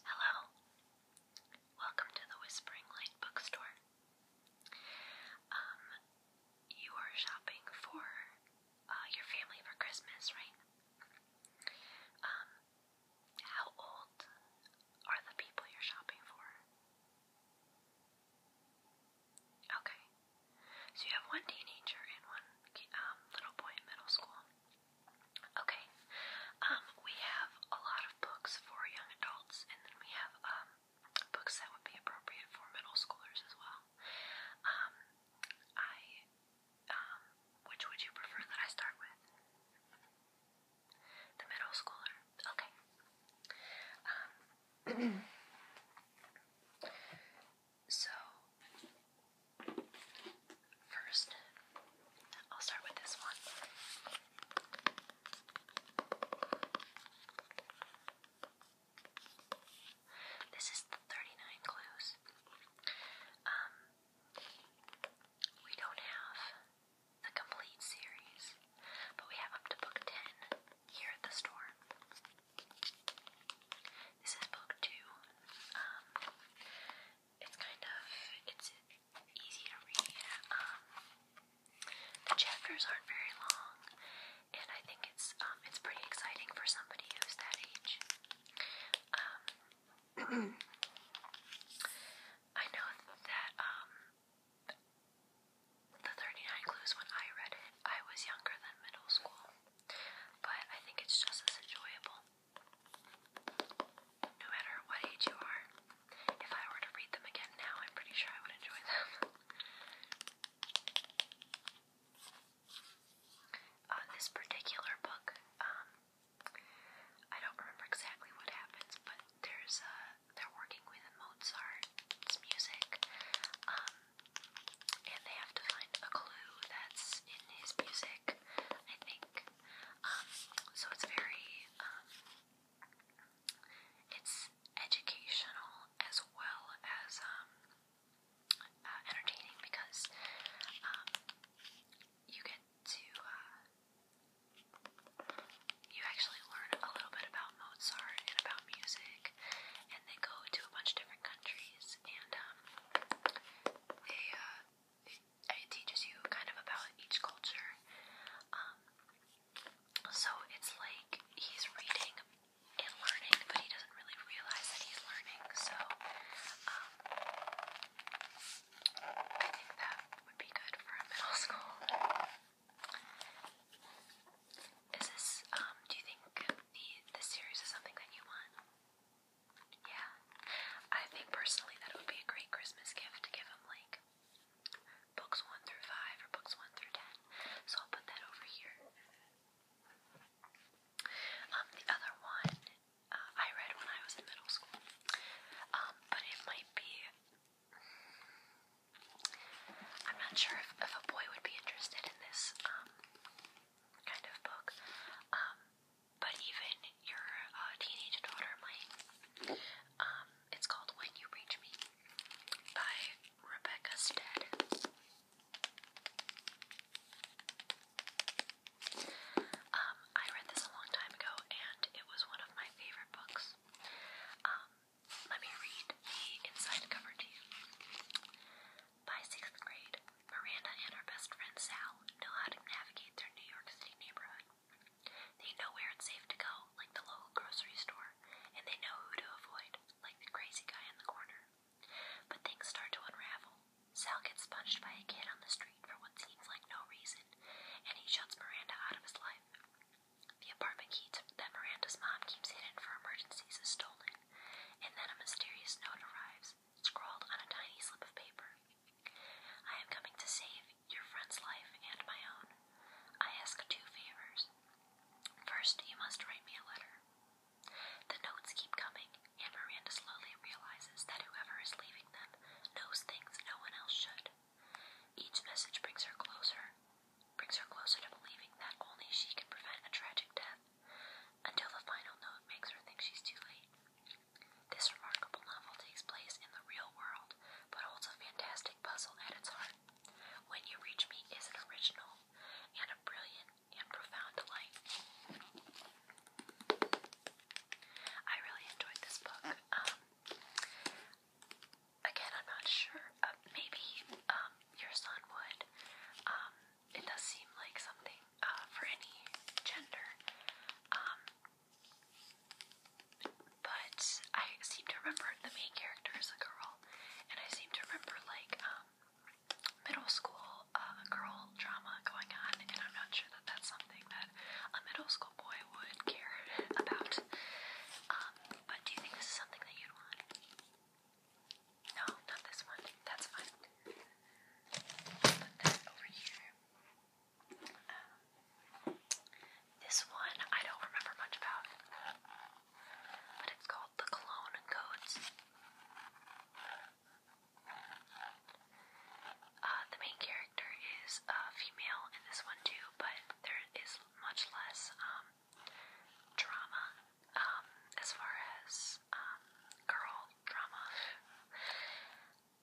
Hello. Welcome to the Whispering Light bookstore. Um, you are shopping for uh, your family for Christmas, right? Um, how old are the people you're shopping for? Okay. So you have one teenager and one um, little boy in middle school. Okay, um, we have a lot of books for young adults, and then we have um, books that would be appropriate for middle schoolers as well. Um, I, um, which would you prefer that I start with? The middle schooler. Okay. Um, so First, I'll start with this one. This is the 39 clues. Um, we don't have the complete series, but we have up to book 10 here at the store. This is book 2. Um, it's kind of it's easy to read. Um, the chapters aren't very long, and I think it's um, it's pretty exciting for somebody who's that age. Um, I know that um, the Thirty Nine Clues when I read it, I was younger than middle school, but I think it's just as enjoyable. No matter what age you are, if I were to read them again now, I'm pretty sure I would enjoy them. Uh, this particular book, um, I don't remember exactly what happens, but there's uh, they're working with Mozart's music, um, and they have to find a clue that's in his music music, I think. Um, so it's very, um, it's educational as well as um, uh, entertaining because um, you get to, uh, you actually learn a little bit about Mozart and about music, and they go to a bunch of different countries, and um, they, uh, it teaches you kind of about each culture. Um, so it's like he's reading and learning, but he doesn't really realize that he's learning. So um, I think that would be good for a middle school. Is this? Um, do you think the the series is something that you want? Yeah. I think personally that it would be a great Christmas gift to give him like books 1 through 5 or books 1 through 10. So I'll put that over here. Um, the other one uh, I read when I was in middle school. Um, but it might be. I'm not sure if, if a boy would be interested in this um, kind of book. Um, but even your uh, teenage daughter might. Um, it's called When You Reach Me by Rebecca Stead. Um, I read this a long time ago and it was one of my favorite books. Um, let me read the inside cover to you. By sixth grade, Miranda and her best friend Sal know how to navigate their New York City neighborhood. They know where it's safe to go, like the local grocery store, and they know who to avoid, like the crazy guy in the corner. But things start to unravel. Sal gets punched by a kid on the street for what seems like no reason, and he shuts Miranda out of his life. The apartment key that Miranda's mom keeps hidden for emergencies is stolen, and then a mysterious note arrives, scrawled on a tiny slip of paper. I am coming to save your friend's life and my own. I ask two favors. First, you must write me a letter. The notes keep coming, and Miranda slowly realizes that whoever is leaving them knows things no one else should. Each message brings her closer, brings her closer to believing that only she can prevent a tragic death, until the final note makes her think she's too late. This remarkable novel takes place in the real world, but holds a fantastic puzzle at its heart. When You Reach Me is an original and a brilliant and profound delight. I really enjoyed this book. Um, again, I'm not sure. Uh, maybe um, your son would. Um, it does seem like something uh, for any gender. Um, but I seem to remember the main character is a girl, and I seem to remember like um, middle school uh, girl drama going on, and I'm not sure that that's something that a middle school boy would care about. Um, but do you think this is something that you'd want? No, not this one. That's fine. Put that over here this one I don't remember much about, but it's called The Cologne Codes. Uh, the main character is a uh, female in this one too, but there is much less um, drama um, as far as um, girl drama.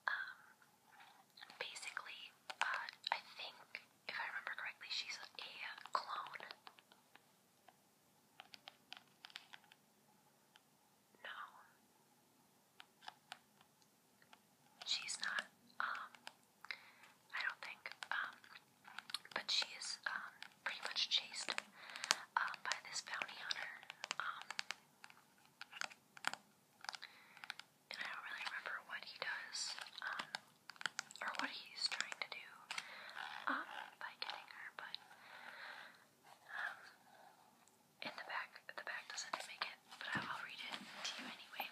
Um, basically, uh, I think, if I remember correctly, she's a clone. No. She's not, um, I don't think, um, but she is, um, pretty much chased, um, by this bounty hunter, um, and I don't really remember what he does, um, or what he's trying to do, um, by getting her, but, um, in the back, the back doesn't make it, but I'll read it to you anyway.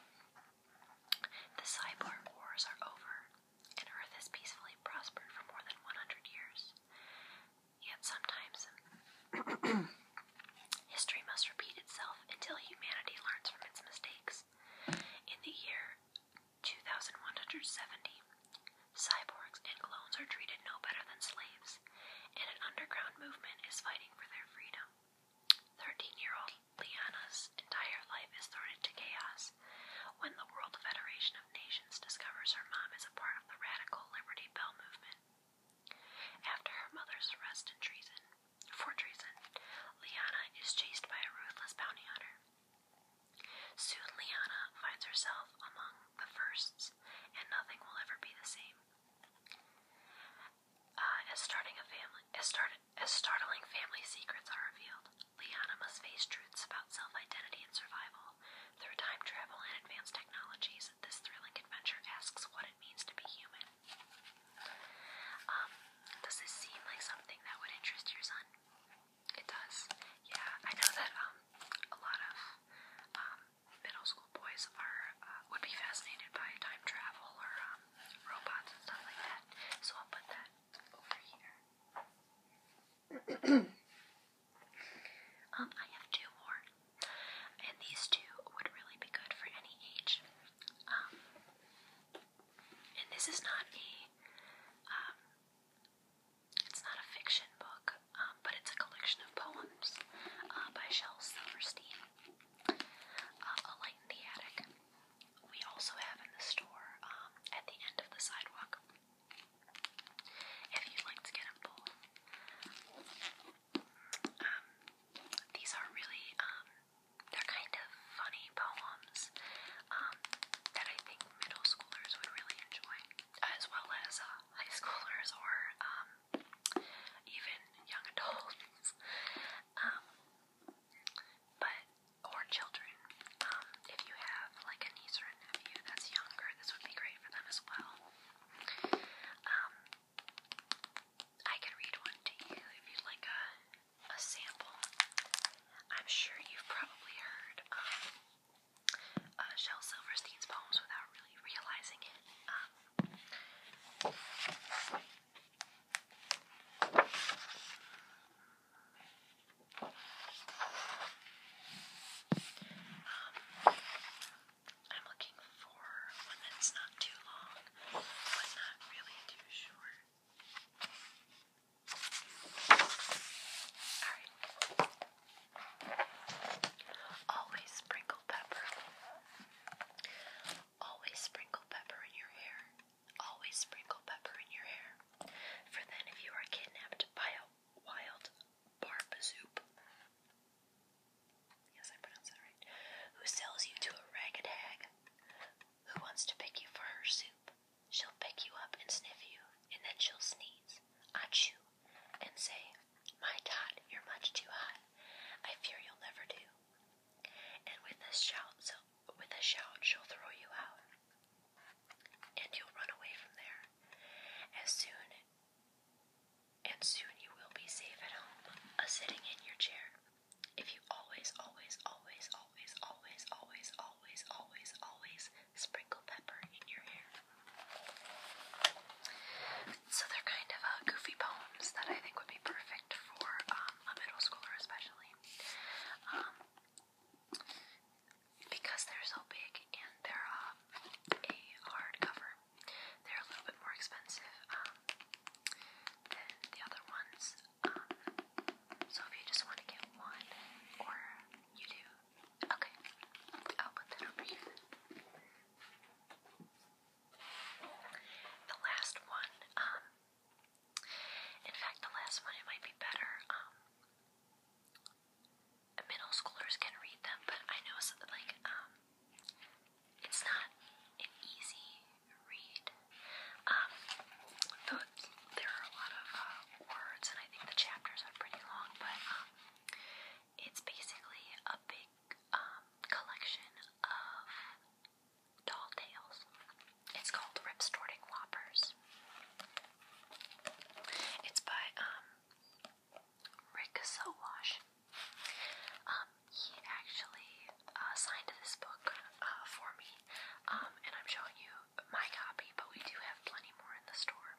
The cyborg wars are over, and Earth has peacefully prospered for more than 100 years. Yet sometimes history must repeat itself until humanity learns from its mistakes. In the year 2170, cyborgs and clones are treated no better than slaves, and an underground movement is fighting for their freedom. Thirteen year old Liana's entire life is thrown into chaos when the World Federation of Nations discovers her mom is a part of the radical Liberty Bell movement. After her mother's arrest in treason, for treason, Liana is chased by a ruthless bounty hunter. Soon Liana finds herself among the firsts, and nothing will ever be the same. Uh, as starting a family, as, start, as startling family secrets are revealed, Liana must face truths about self-identity and survival through time travel and advanced technologies, this thrilling adventure asks what it means to be human. Um, does this seem like something that would interest your son? It does. Yeah, I know that um, a lot of um, middle school boys are uh, would be fascinated by time travel or robots and stuff like that. So I'll put that over here. Um, I have two more, and these two would really be good for any age. Um, and this is not a, um, it's not a fiction book, um, but it's a collection of poems uh, by Shel Silverstein. Uh, a Light in the Attic. We also have in the store at the end of the sidewalk. If you'd like to get a bowl, um, these are really, um, they're kind of funny poems um, that I think middle schoolers would really enjoy, as well as uh, high schoolers or even young adults. but or children. if you have like a niece or a nephew that's younger, this would be great for them as well. Um, I can read one to you if you'd like a, a sample. I'm sure you've probably heard um, uh, Shel Silverstein's poems without really realizing it. Um, um, I'm looking for one that's not too long, but not really too short. Always sprinkle pepper. Always sprinkle pepper in your hair. Always sprinkle pepper in your hair. For then, if you are kidnapped by a wild barbazoop, Yes, I pronounced that right. Who sells you to a ragged hag? Who wants to pick you for her soup? She'll pick you up and sniff you, and then she'll sneeze, achoo, and say, My tot, you're much too hot. I fear you'll never do. And with a shout, so with a shout, she'll throw you out, and you'll run away from there. As soon and soon you will be safe at home, a sitting in your chair. If you always, always, always, always, always, always, always, always, always sprinkle pepper in your hair. So they're kind of uh, goofy poems that I think would be perfect for um, a middle schooler, especially. Um, because they're so big and they're uh, a hard cover, they're a little bit more expensive um, than the other ones. Um, so if you just want to get one, or you do, okay, I'll put that over here. The last one, um, in fact, the last one, it might be better, um, middle schoolers can read them, but I know it's like um, it's not an easy read. Um, there are a lot of uh, words, and I think the chapters are pretty long, but um, it's basically a big um, collection of doll tales. It's called Rip Whoppers. It's by um Rick Sowash. Um, he actually uh, signed this book uh, for me, um, and I'm showing you my copy, but we do have plenty more in the store,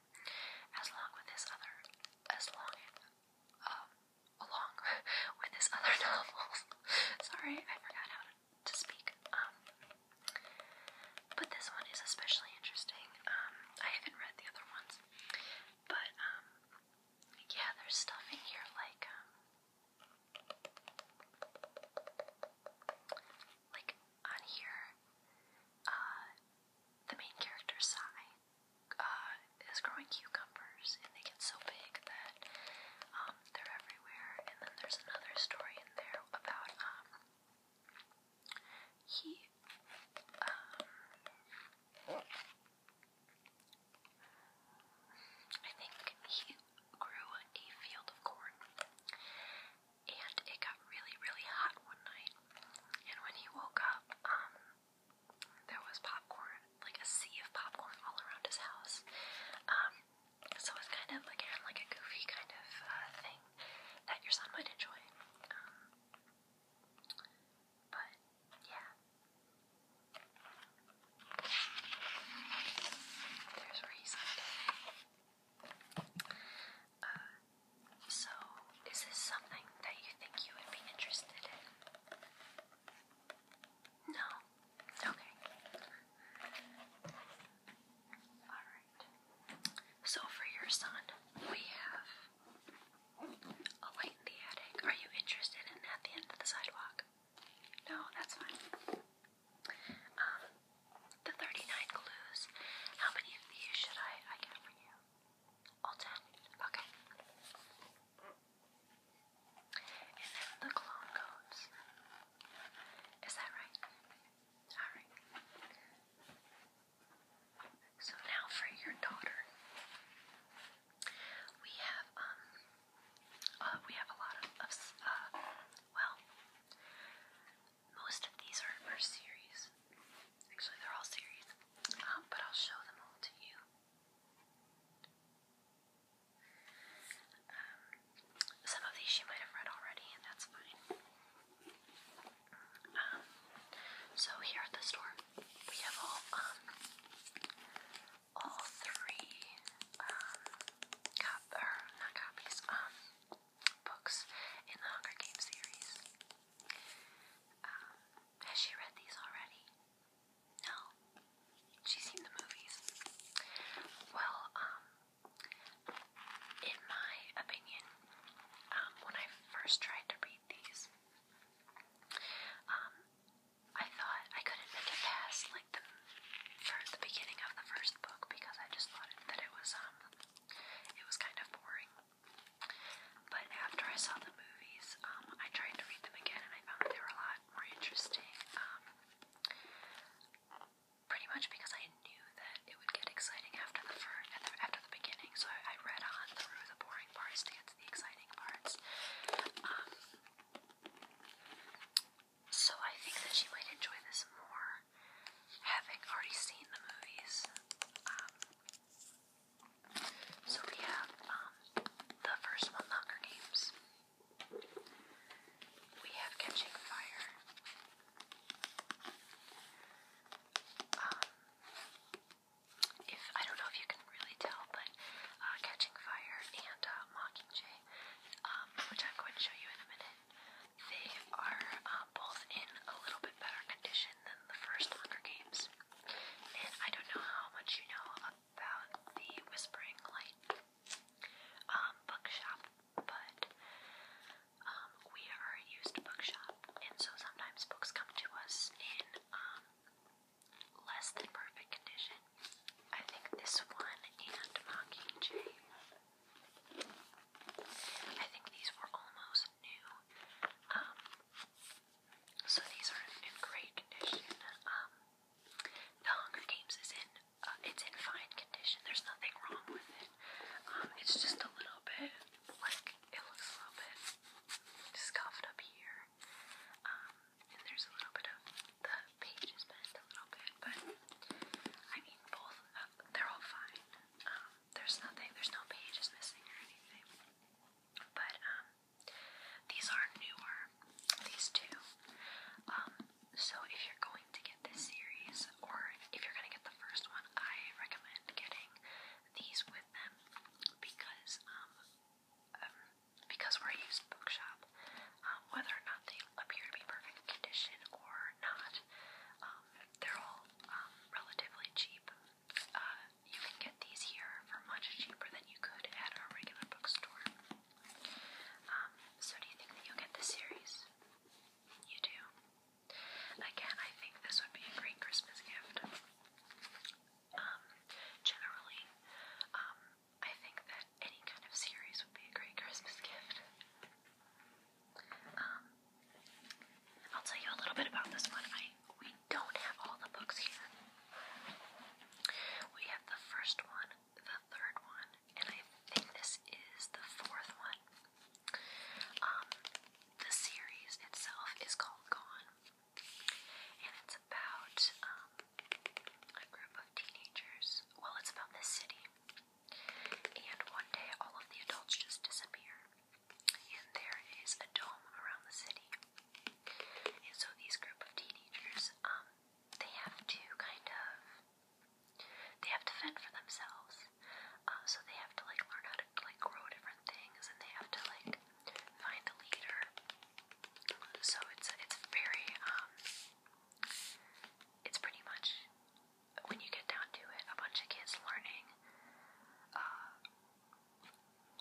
as long with this other, as long, um, along with his other novels. Sorry, I forgot how to, to speak. Um, but this one is especially interesting. Um, I haven't read the other ones. But, um, yeah, there's stuff in here like, um, like on here, uh, the main character, Sai, uh, is growing cucumbers and they get so big that, um, they're everywhere. And then there's another story in there about, he um, I think he grew a field of corn and it got really, really hot one night. And when he woke up, um, there was popcorn, like a sea of popcorn all around his house. Um, so it's kind of, again, like a goofy kind of uh, thing that your son might enjoy. Um, but yeah. There's where Uh, so is this something that you think you would be interested in? No. Okay. Alright. So for your son, we have a light in the attic. Are you interested in at the end of the sidewalk? No, that's fine. Um, the 39 clues. How many of these should I, I get for you? All 10? Okay. And then the clone codes. Is that right? Alright. So now for your daughter, we have um, uh, we have a lot of, of uh, well, most of these are, are series. Actually, they're all series, um, but I'll show them all to you. Um, some of these she might have read already, and that's fine so here at the store, we have all um, all three um, not copies um, books in the Hunger Games series. has she read these already? No. She's seen the movies. Well, in my opinion, when I first tried to read these, um, I thought I couldn't make it past like the for the beginning of the first book because I just thought it, that it was um it was kind of boring. But after I saw the movies, um, I tried to read them again and I found they were a lot more interesting. Um, pretty much because I knew that it would get exciting after the first after the beginning, so I read on through the boring parts to get to the exciting parts. Um, so I think that she might enjoy this more, having already seen the movies. Um, so we have um, the first one, Hunger Games. We have Catching Fire if I don't know if you can really tell, but uh, Catching Fire and uh, Mockingjay, um, which I'm going to show you in a minute, they are uh, both in a little bit better condition than the first Hunger Games. And I don't know how much you know about the Whispering Light um, bookshop, but um, we are a used bookshop, and so sometimes books come to us in um, less than perfect condition. I think this one and Mockingjay. I think these were almost new. Um, so these are in great condition. Um, the Hunger Games is in uh, it's in fine condition. There's nothing wrong with it. it's just a little bit like it looks a little bit scuffed up here. Um, and there's a little bit of the pages bent a little bit, but I mean, both, uh, they're all fine. Um, there's nothing, there's no pages missing or anything. But, um, these are newer, these two. so if you're going to get this series, or if you're going to get the first one, I recommend getting these with them because um, um, because we're a used bookshop. Um, whether or not they appear to be perfect condition or not, um, they're all relatively cheap. Uh, you can get these here for much cheaper than you could at a regular bookstore. so do you think that you'll get the series? You do. Again, I think this would be a great Christmas gift. Um, generally, um, I think that any kind of series would be a great Christmas gift. Um, I'll tell you a little bit about this one. I we don't have all the books here. We have the first one, the third one, and I think this is the fourth one. the series itself is called Gone. And it's about um, a group of teenagers. Well, it's about this city. And one day, all of the adults just disappear. And there is a dome around the city. And so these group of teenagers, um, they have to kind of, they have to fend for themselves. Um, so they have to like learn how to like grow different things, and they have to like find a leader. So it's it's very um it's pretty much when you get down to it, a bunch of kids learning uh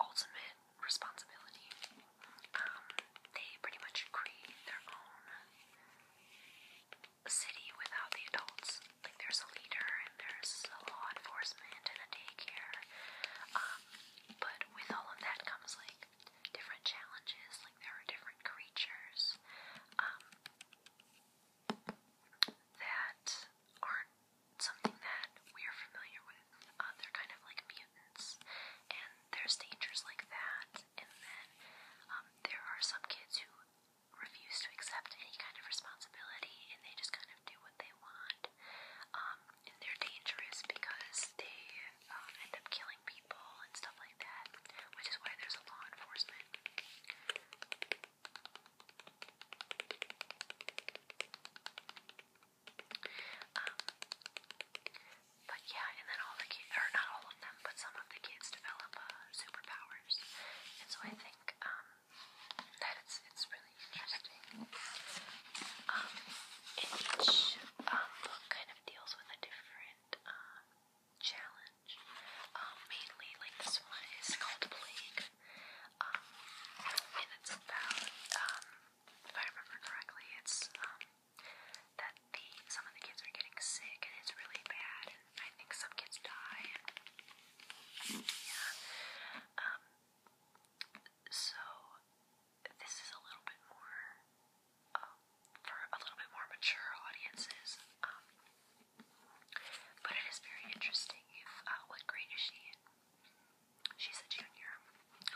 ultimate responsibility. Um they pretty much create their own city without the adults. Like there's a leader there's the law enforcement, and a daycare. Um, but with all of that comes like different challenges. Like there are different creatures um, that aren't something that we are familiar with. Uh, they're kind of like mutants, and there's dangers like that. And then um, there are some kids who refuse to accept any kind of responsibility, and they just kind of kind of do what they want. Um, and they're dangerous because they um, end up killing people and stuff like that, which is why there's a law enforcement. Um, but yeah, and then all the kids, or not all of them, but some of the kids develop uh, superpowers. And so I think um, that it's, it's really interesting. Um, each um, book kind of deals with a different um, challenge. mainly, like this one is called Plague. and it's about, if I remember correctly, it's that the some of the kids are getting sick and it's really bad, I think some kids die. yeah. So this is a little bit more um, for a little bit more mature audiences. Um, but it is very interesting. If uh, what grade is she She's a junior.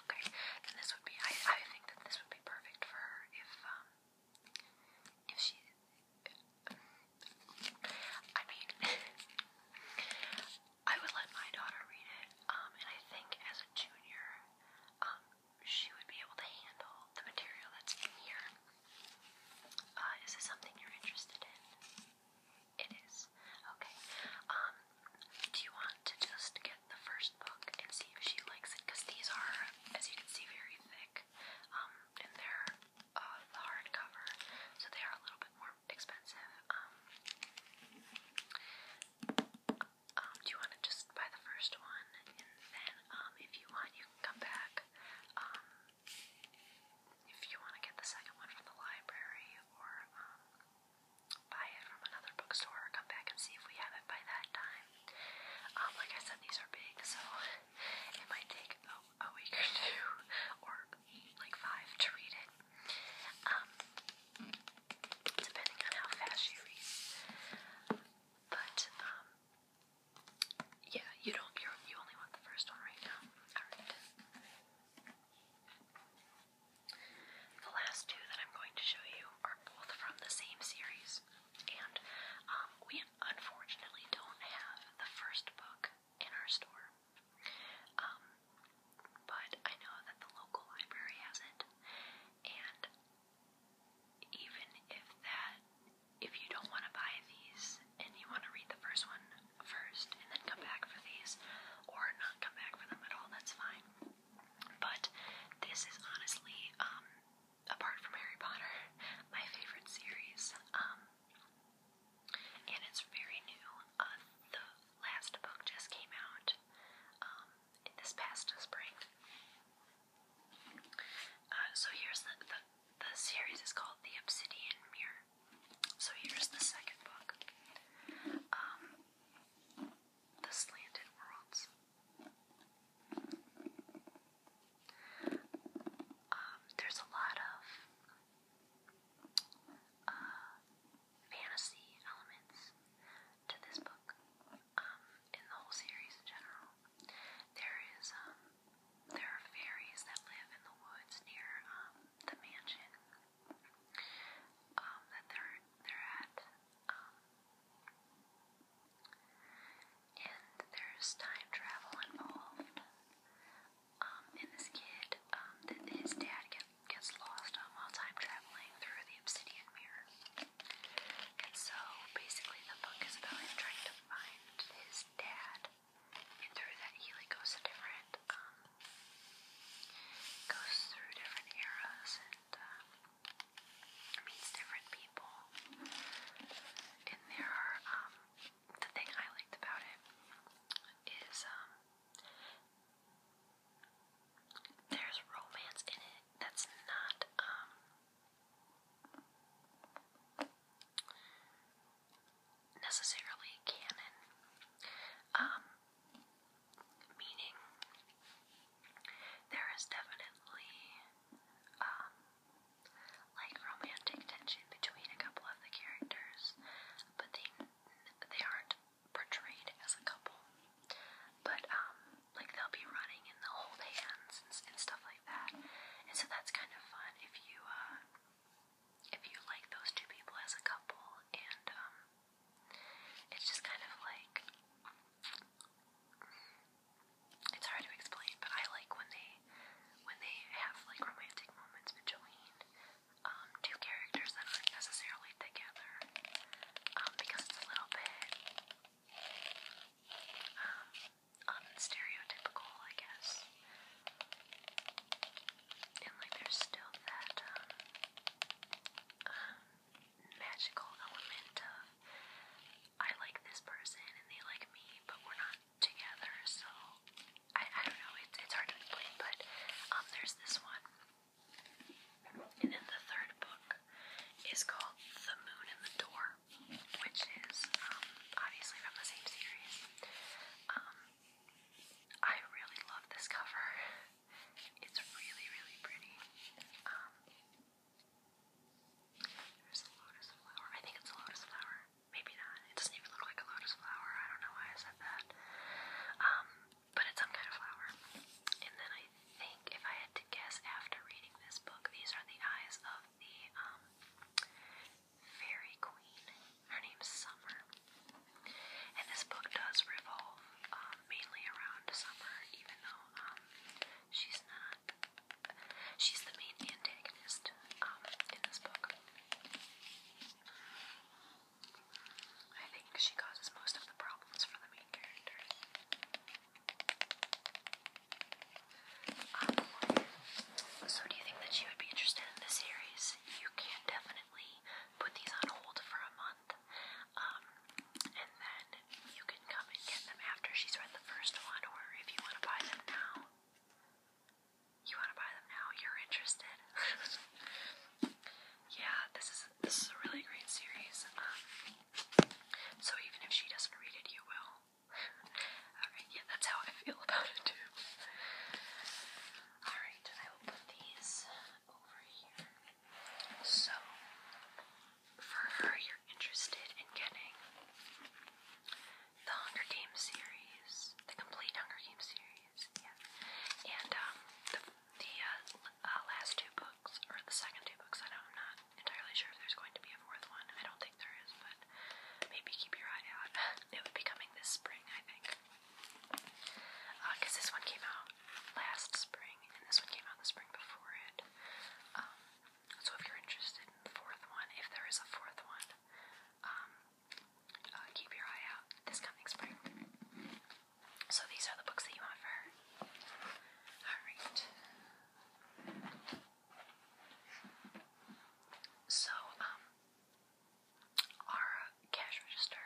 Okay, this would be. I I think that this would be perfect for her if um if she. I mean, I would let my daughter read it, um, and I think as a junior, um, she would be able to handle the material that's in here. Uh, is this something you're interested in? It is. Okay. Um, do you want to just get the first book and see if she likes it? Because these are, as you can see, very thick. Um, and they're uh, the hardcover, so they are a little bit more expensive. Um, um, do you want to just buy the first one, and then um, if you want, you can come back. Um, if you want to get the second one from the library, or um, buy it from another bookstore, or come back and see if we have it by that time. Um, like I said, these are big, so it might take a, a week or two, or like five, to read it. Um, depending on how fast she reads. But um, yeah, you don't. you only want the first one right now. All right. The last two that I'm going to show you are both from the same series, and um, we unfortunately don't have the first book in our store. Um, but I know that the local library has it, and even if that, if you don't want to buy these and you want to read the first one first and then come back for these, or not come back for them at all, that's fine. But this is honestly, um, apart from Harry Potter, my favorite series. Um, and it's very new. Uh, the last book just came out um, in this past spring. Uh, so here's the, the series is called The Obsidian Mirror. So here's the second book, um, The Slanted Worlds. Um, there's a lot of uh, fantasy elements to this book, um, in the whole series in general. There is, um, there are fairies that live in the woods near, um, the mansion, that they're, they're at, and there's time travel involved. Um, and this kid, um, that his dad gets lost um, while time traveling through the obsidian mirror. And so, basically, the book is about him trying to find his dad, and through that, he goes to different, um, goes through different eras and meets different people. And there are um, the thing I liked about it is um, there's romance in it that's not um, necessarily canon. Um, meaning there is definitely um like romantic tension between a couple of the characters, but they they aren't portrayed as a couple, but um, like they'll be running and they'll hold hands and, and stuff like that, and so that's kind of fun if you uh, if you like those two people as a couple, and um, it's just kind of like it's hard to explain, but I like when they when they have like romantic moments between um, two characters that aren't necessarily together um, because it's a little bit um, unstereotypical, um, I guess. And like there's still that um, um, magical element of I like this person and they like me, but we're not together, so I, I don't know, it's, it's hard to explain, but um, there's this one. And then the third book is called The Moon and the Door, which is um, obviously from the same series. Um, I really love this cover. It's really, really pretty. Um, there's a lotus flower. I think it's a lotus flower. Maybe not. It doesn't even look like a lotus flower. I don't know why I said that. Um, but it's some kind of flower. And then I think if I had to guess after reading this book, these are the eyes of the um, fairy queen. Her name's Summer. And this book does revolve um, mainly around Summer, even though she's not she's the main antagonist in this book. I think she causes most of the problems for the main characters. Um, so do you think that she would be interested in this series? You can definitely put these on hold for a month, um, and then you can come and get them after she's read the first one, or if you want to buy them now. You want to buy them now? You're interested? yeah, this is this is a really great series. Um, so even if she doesn't read it, you will. Alright, yeah, that's how I feel about it too. Alright, I will these over here. So for her you're interested in getting the Hunger Games series, the complete Hunger Games series. Yes, yeah. And um, the, the uh, uh, last two books, or the second two books, I don't, I'm not entirely sure if there's going to be a fourth one. I don't think there is, but maybe keep your eye out. it would be coming this spring, I think. Because uh, this one came out last spring, and this one came out the spring before it. Um, so if you're interested in the fourth one, if there is a fourth one, um, uh, keep your eye out this coming spring. So these are the books that you want for her. Alright. So, um, our cash register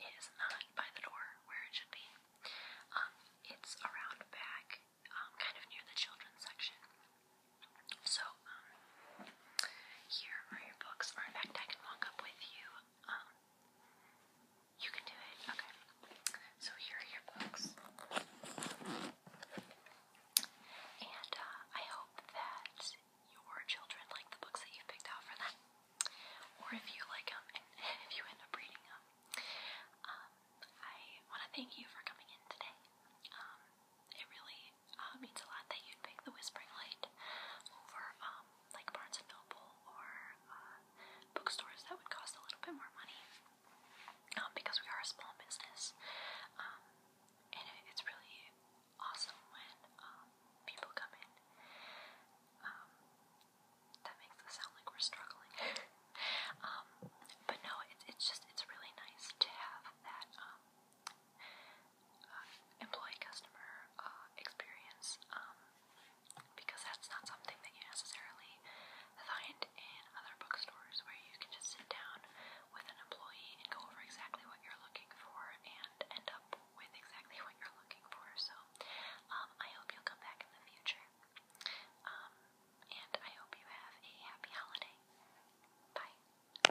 is not by the door where it should be. Um, it's around back, um, kind of near the children's section. So, here are your books, or in fact, I can walk up with you. Um, you can do it. Okay. So here are your books. And uh, I hope that your children like the books that you've picked out for them. Or if you like them and if you end up reading them. Um, I want to thank you for coming in today. Um, it really uh, means a lot that you'd pick The Whispering Light over um, like Barnes and Noble or uh, bookstores that would cost a little bit more money um, because we are a small business. Um, and it's really awesome when people come in. that makes us sound like we're struggling. but no, it's just, it's really nice to have that, uh, employee customer uh, experience um, because that's not something that you necessarily find in other bookstores where you can just sit down with an employee and go over exactly what you're looking for and end up with exactly what you're looking for. So um, I hope you'll come back in the future. Um, and I hope you have a happy holiday. Bye.